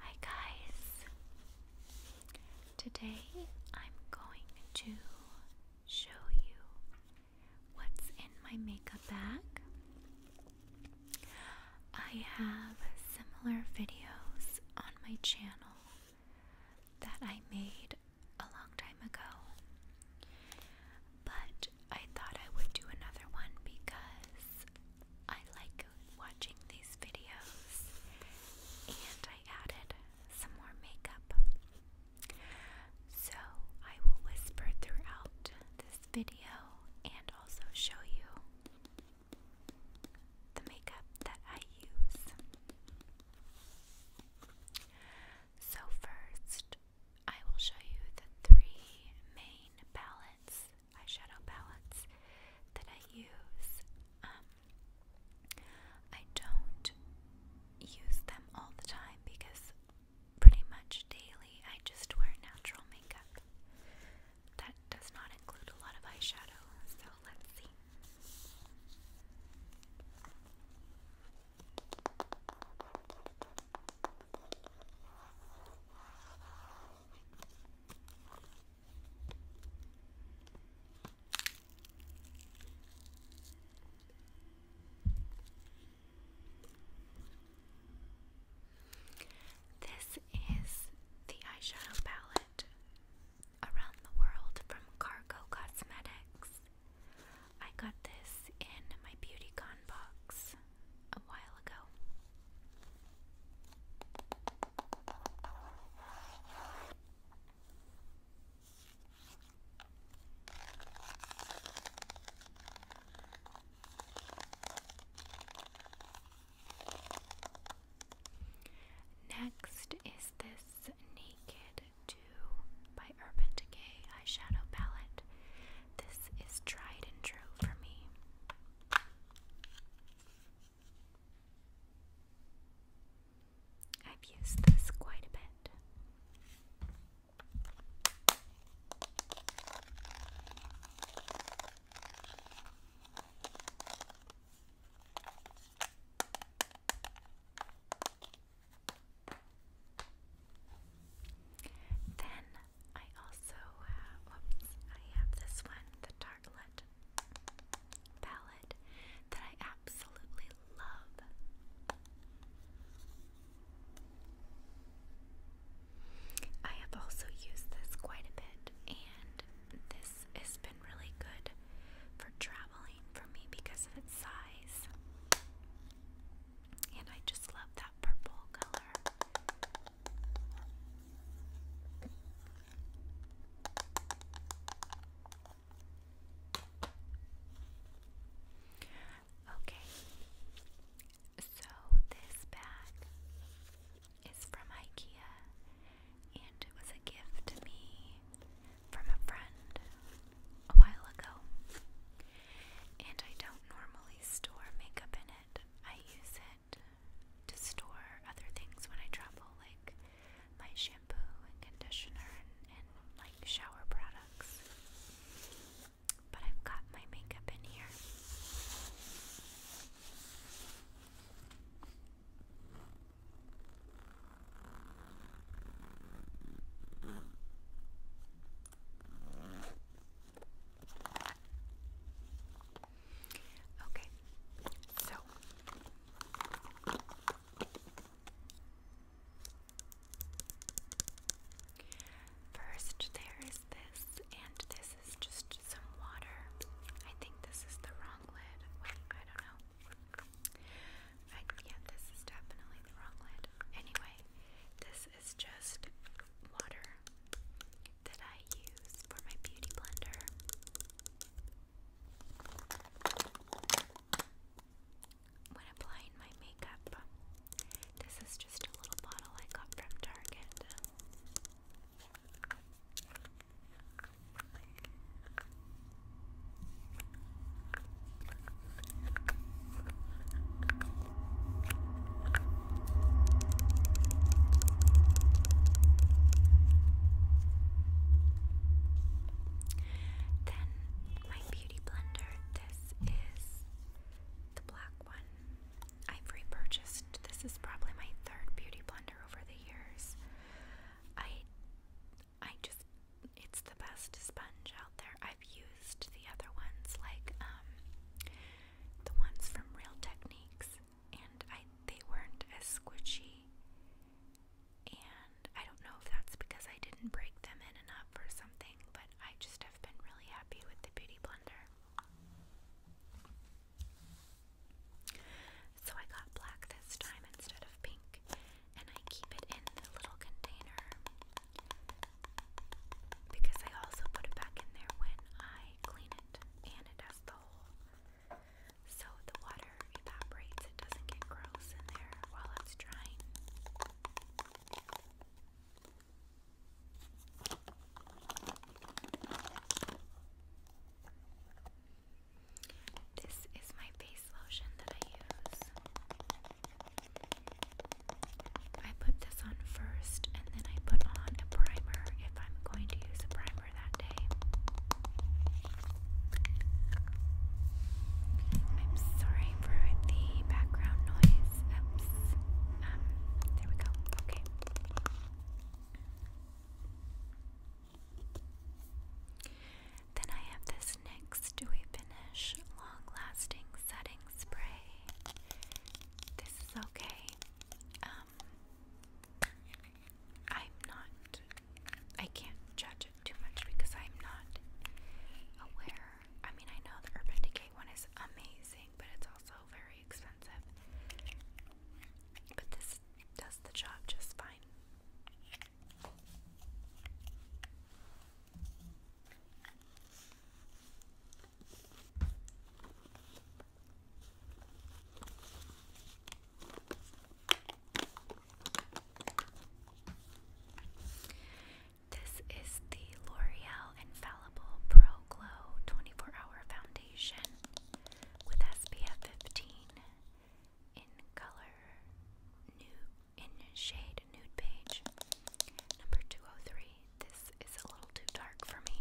Hi guys. Today I'm going to show you what's in my makeup bag. I have similar videos on my channel that I made a long time ago. But I thought I would do another one because I like watching these videos and I added some more makeup. So I will whisper throughout this video and also show you the makeup that I use. So, first, I will show you the three main palettes, eyeshadow palettes, that I use. Um, I don't use them all the time because pretty much daily I just wear natural makeup. That does not include a lot of eyeshadow, so let's see. This is the eyeshadow palette Around the World from Cargo Cosmetics. I got this in my beauty con box a while ago. Next is this Naked 2 by Urban Decay eyeshadow palette. This is tried and true for me. I've used this quite a bit. Then I also have, I have this one, the Tartlet palette that I absolutely love. I have also used this quite a bit, and this has been really good for traveling for me because of size. And I just love that purple color. Okay, so this bag is from IKEA and it was a gift to me from a friend a while ago. And I don't normally store makeup in it. I use it to store other things when I travel, like my shampoo and conditioner and, like shower products. But I've got my makeup in here. Okay, so first there is this, and this is just some water. I think this is the wrong lid. I don't know. I, this is definitely the wrong lid. Anyway, this is just water that I use for my beauty blender. When applying my makeup, this is just a little bottle I got from Target. Then my beauty blender, this is the black one. I've repurchased. This is probably my third beauty blender over the years. I I just it's the best sponge out there. I've used the other ones like um the ones from Real Techniques and I they weren't as squishy. And I don't know if that's because I didn't break them in enough or something, but I just have been really happy with the Beauty Blender. So I got black this time instead of pink, and I keep it in the little container because I also put it back in there when I clean it, and it has the hole. So the water evaporates, it doesn't get gross in there while it's drying. This is my base lotion that I use. I put this on first and then I put on a primer if I'm going to use a primer that day. I'm sorry for the background noise. Oops. Um, there we go. Okay. Then I have this NYX Dewy Finish Long Lasting Setting Spray. This is okay. Um, I'm not, I can't judge it too much because I'm not aware. I mean, I know the Urban Decay one is amazing, but it's also very expensive. But this does the job just fine. This is the L'Oreal Infallible Pro Glow 24 Hour Foundation with SPF 15 in color, new in shade nude beige. Number 203. This is a little too dark for me.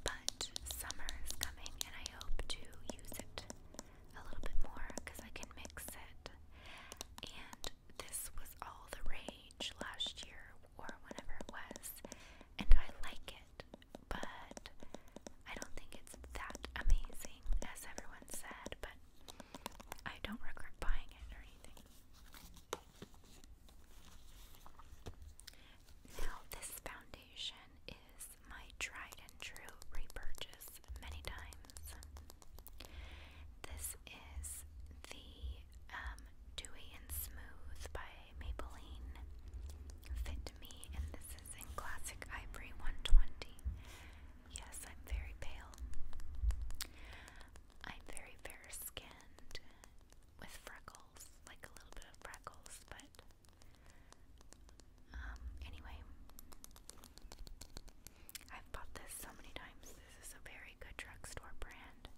But summer is coming and I hope to use it a little bit more because I can mix it. And this was all the rage last year or whenever it was. And I like it but I don't think it's that amazing as everyone said, but I don't regret buying it or anything. Now, this foundation is my tried and true repurchase many times. This is the um, Dewy and Smooth by Maybelline Fit Me, and this is in Classic Ivory 120. Yes, I'm very pale. I'm very fair skinned with freckles, like a little bit of freckles, but um, anyway, I've bought this so many times. This is a very good drugstore brand.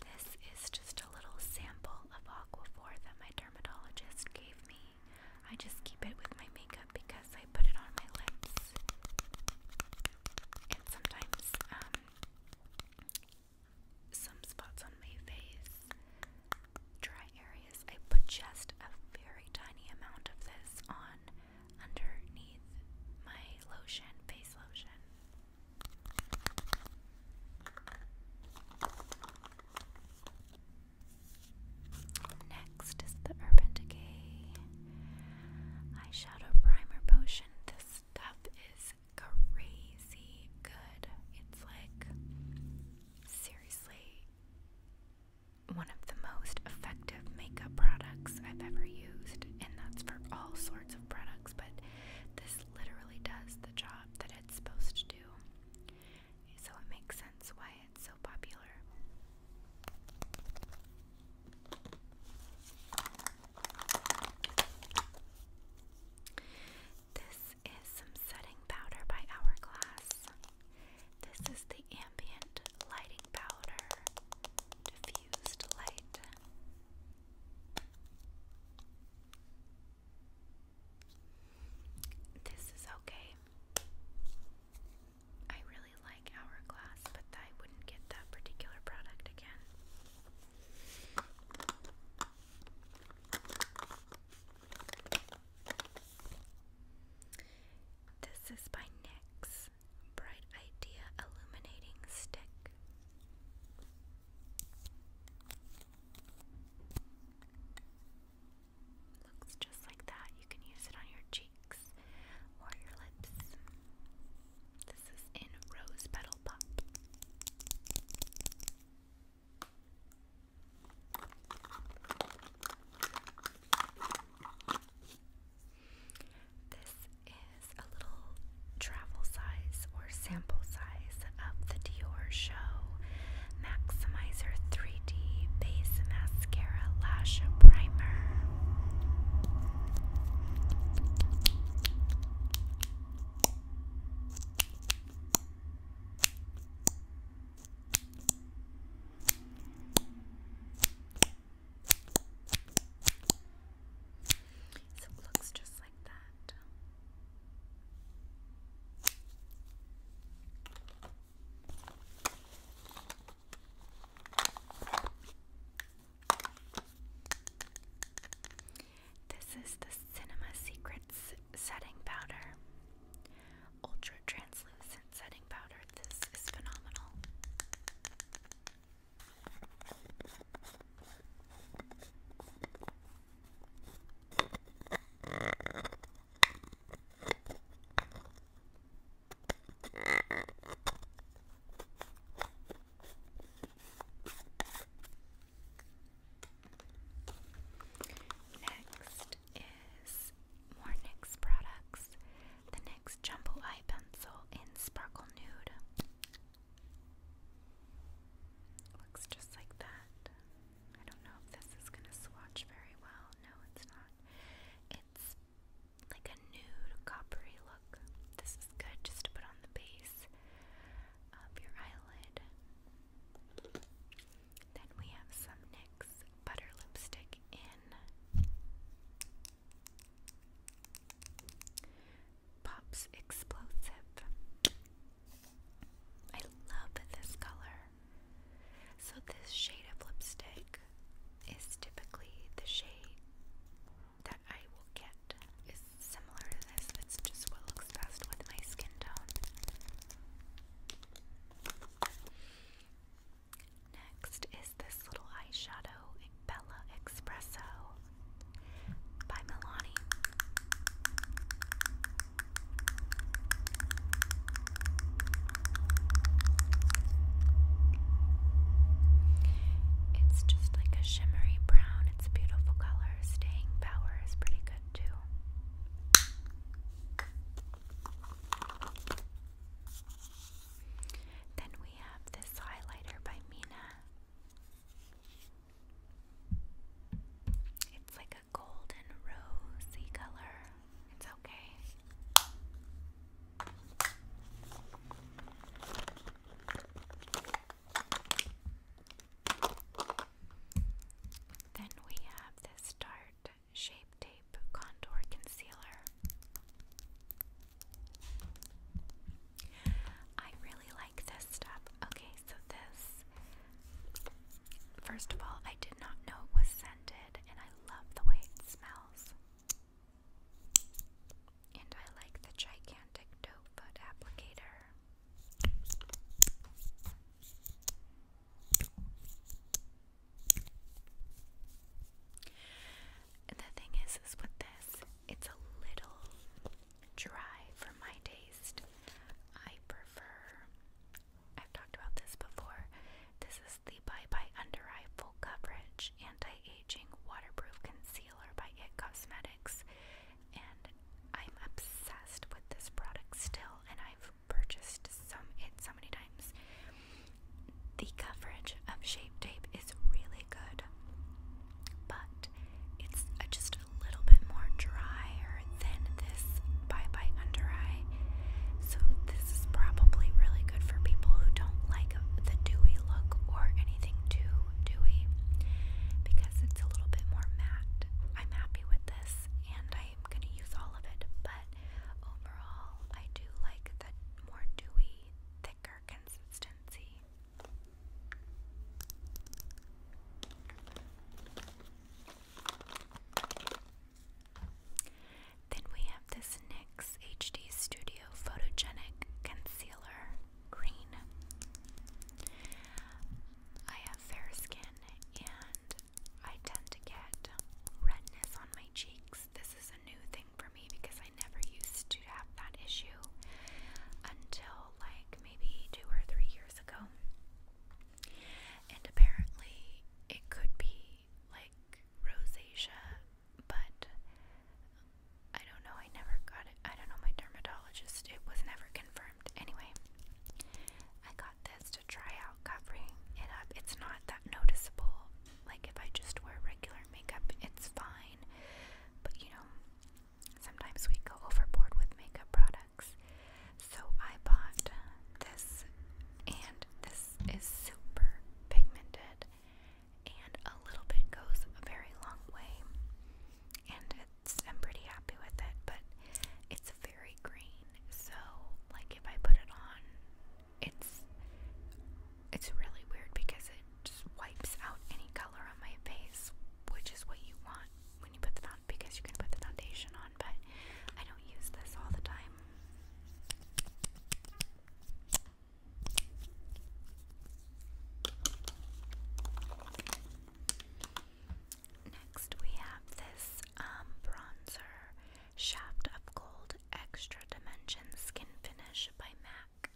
This is just a little sample of Aquaphor that my dermatologist gave me. I just keep it with my makeup because I put it on my lips. And sometimes um, some spots on my face, dry areas. I put just a very tiny amount of this on underneath my lotion, face lotion. Next is the Urban Decay Eyeshadow Primer Potion. This stuff is crazy good. It's like seriously one of the most effective makeup products I've ever used, and that's for all sorts of products, but this literally does the job that it's supposed to do. So it makes sense why it's so popular. This is some setting powder by Hourglass. This is the ambient lighting powder, diffused light. This is okay. I really like Hourglass, but I wouldn't get that particular product again. This is by NYX Bright Idea Illuminating Stick. Looks just like that. You can use it on your cheeks or your lips. This is in Rose Petal Pop. This is a little travel size or sample size of the Dior Show Maximizer 3D Base Mascara Lash Primer. So it looks just like that. This is the Cinema Secrets setting powder. Ultra translucent setting powder. This is phenomenal. Next is more NYX products. The NYX Jumbo Eye Pencil in Sparkle Nude. Looks just like that. I don't know if this is going to swatch very well. No, it's not. It's like a nude coppery look. This is good just to put on the base of your eyelid. Then we have some NYX Butter Lipstick in Pops Explosive. I love this color. So, this shade of lipstick is typically the shade that I will get is similar to this. That's just what looks best with my skin tone. Next is this little eyeshadow, Bella Espresso by Milani. It's just like a shimmery brown. It's a beautiful color. Staying power is pretty good too. Then we have this highlighter by Mina. It's like a golden rosy color. It's okay. Then we have this Dart Shape Tape Contour Concealer. I really like this stuff. Okay, so this, first of all, I did not know it was scented, and I love the way it smells. And I like the gigantic doe foot applicator. The thing is, is with this, it's a little dry for my taste. I prefer, I've talked about this before, this is the Bye Bye Under Eye Full Coverage Anti-Aging Waterproof Concealer by IT Cosmetics. And I'm obsessed with this product still, and I've purchased some it so many times. The coverage of Shape Tape is really good, but it's just a little bit more drier than this Bye Bye Under Eye. So this is probably really good for people who don't like the dewy look or anything too dewy because it's a little bit more matte. I'm happy with this and I'm going to use all of it, but overall, I do like the more dewy, thicker consistency. Then we have this NYX Studio Photogenic Concealer Green. I have fair skin and I tend to get redness on my cheeks. This is a new thing for me because I never used to have that issue until like maybe two or three years ago. And apparently, it could be like rosacea but I don't know. I never got it. I don't know my dermatologist. It was never confirmed. Anyway, I got this to try out, covering it up. It's not that noticeable. Like if I just wear regular makeup, it's fine. But you know, sometimes we go overboard with makeup products. So I bought this, and this is super pigmented and a little bit goes a very long way. And I'm pretty happy with it, but it's very green, so like if I put it on, it's it's really weird because it wipes out any color on my face, which is what you want when you put the foundation because you can put the foundation on, but I don't use this all the time. Next, we have this um, bronzer Shaft of Gold Extra Dimension Skin Finish by MAC.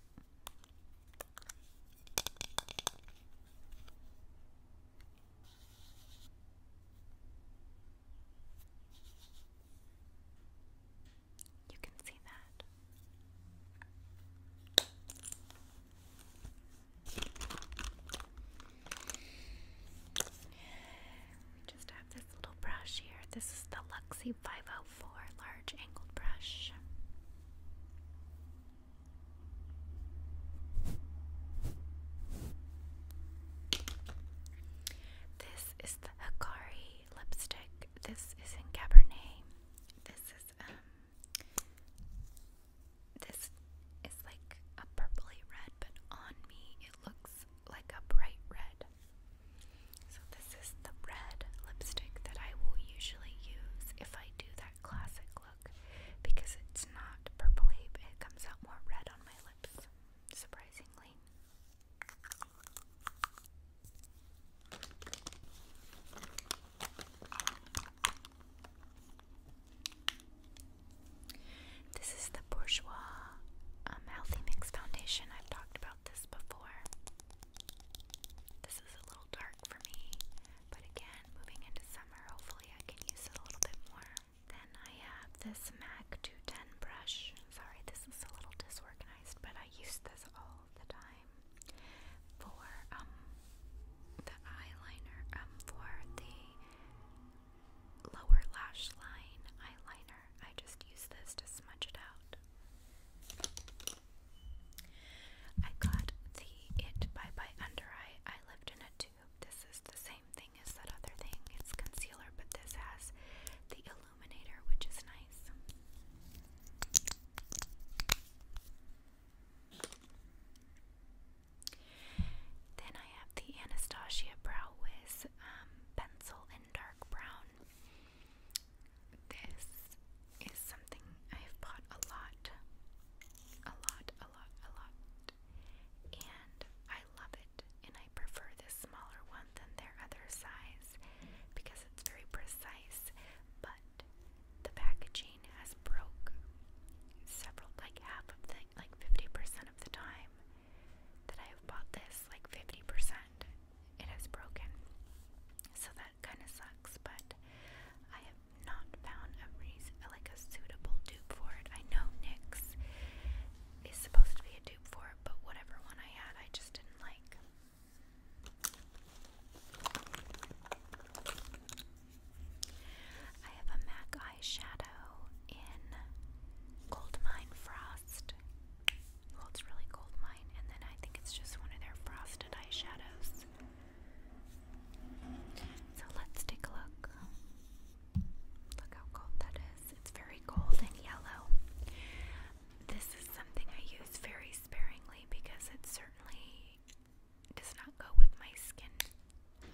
You can see that. We just have this little brush here. This is the Luxie 504 large angled brush. This is the Hakari lipstick. This is in Cabernet. This is um this is like a purpley red, but on me it looks like a bright red. So this is the red lipstick that I will usually use if I do that classic look because it's not purpley, but it comes out more red on my lips, surprisingly. This is the Bourjois um, Healthy Mix Foundation. I've talked about this before. This is a little dark for me, but again, moving into summer, hopefully I can use it a little bit more. Then I have this MAC 210 brush. Sorry, this is a little disorganized, but I use this all the time for um the eyeliner, um for the lower lash line eyeliner. I just use this to smudge it out. I got the It Bye Bye Under Eye. I lived in a 2 this is the same thing as that other thing. It's concealer, but this has the illuminator, which is nice. Then I have the Anastasia Brow Wiz um, pencil in dark brown. This is something I have bought a lot, a lot, a lot, a lot, and I love it. And I prefer this smaller one than their other size because it's very precise. But the packaging has broke several, like half of the, like 50% of the time that I have bought this, like 50%, it has broken. So that kind of sucks, but I have not found a reason, like a suitable dupe for it. I know NYX is supposed to be a dupe for but whatever one I had, I just didn't like. I have a MAC eyeshadow in Goldmine Frost. it's really Goldmine, and then I think it's just one of their frosted eyeshadows. So let's take a look. Look how cold that is. It's very cold and yellow. This is something I use very sparingly because it certainly does not go with my skin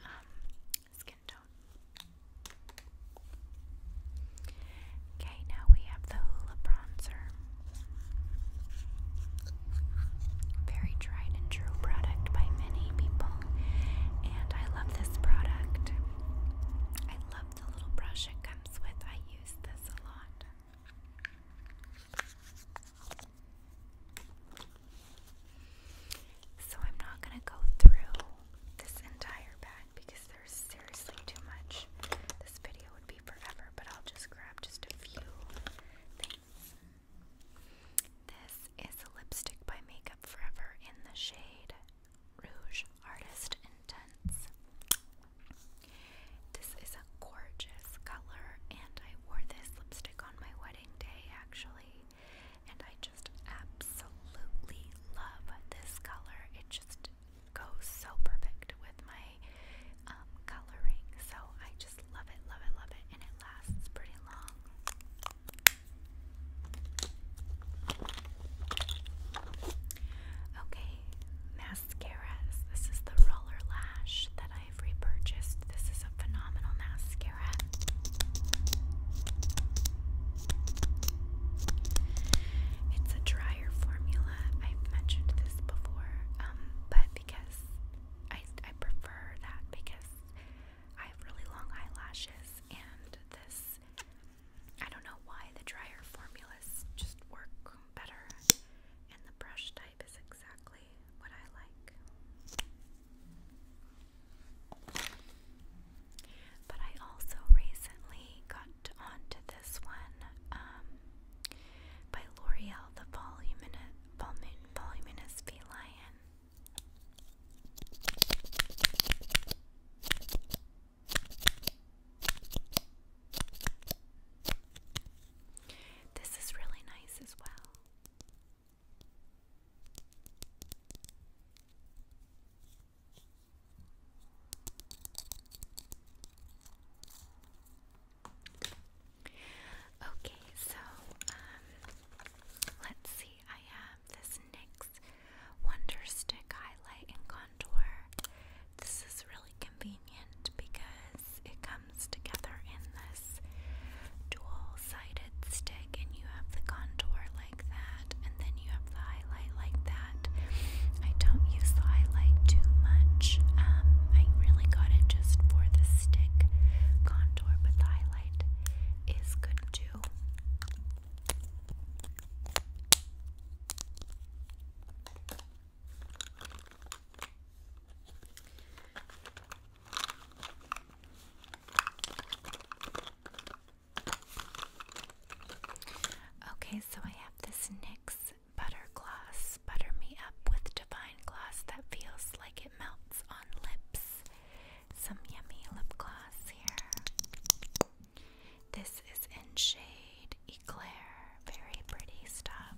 um, skin tone. Okay, now we have the Hoola bronzer. Very tried and true product by many people. And I love this product. I love the little brush it comes with. I use this a lot. So I'm not going to go through this entire bag because there's seriously too much. This video would be forever, but I'll just grab just a few This is a lipstick by Makeup Forever in the shade Rouge Artist Intense. This is a gorgeous color, and I wore this lipstick on my wedding day actually, and I just absolutely love this color. It just goes so perfect with my um, coloring, so I just love it, love it, love it, and it lasts pretty long. Okay, mascaras. This is the roller lash that I've repurchased. This is a phenomenal mascara. It's a drier formula. i mentioned this before, um, but because I, I prefer that because I have really long eyelashes, and this I don't know why the dryer formulas just work better, and the brush type is exactly what I like. But I also recently got onto this one um, by L'Oreal, the Volumin Voluminous Feline. This is really nice as well. Okay, so um let's see. I have this NYX Wonder Stick Highlight and Contour. This is really convenient because it comes together in this dual sided stick, and you have the contour like that, and then you have the highlight like that. I don't use the highlight too much, um, I really got it just for the stick contour, but the highlight highlight is good too. Okay, so I have this NYX Butter Gloss Butter Me Up with Divine Gloss that feels like it melts on lips some yummy lip gloss here. This is in shade Eclair, very pretty stuff.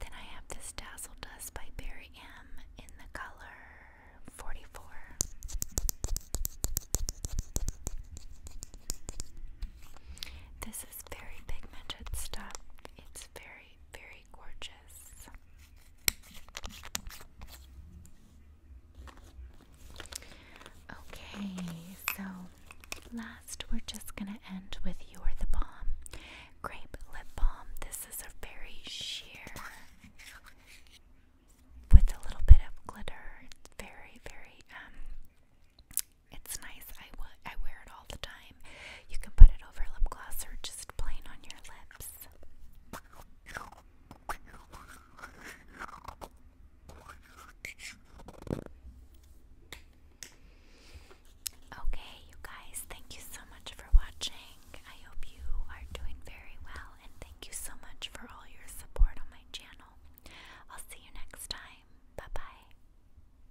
Then I have this Dazzle Dust by Barry M in the color 44. This is very pigmented stuff. It's very very, gorgeous. Okay, so last we're just gonna end with you the Bomb Grape Lip Balm. This is a very sheer with a little bit of glitter. It's very, very um it's nice. I, I wear it all the time. You can put it over lip gloss or just plain on your lips. Okay, you guys, thank you so much for watching. I hope you are doing very well, and thank you so much for all your support on my channel. I'll see you next time. Bye bye.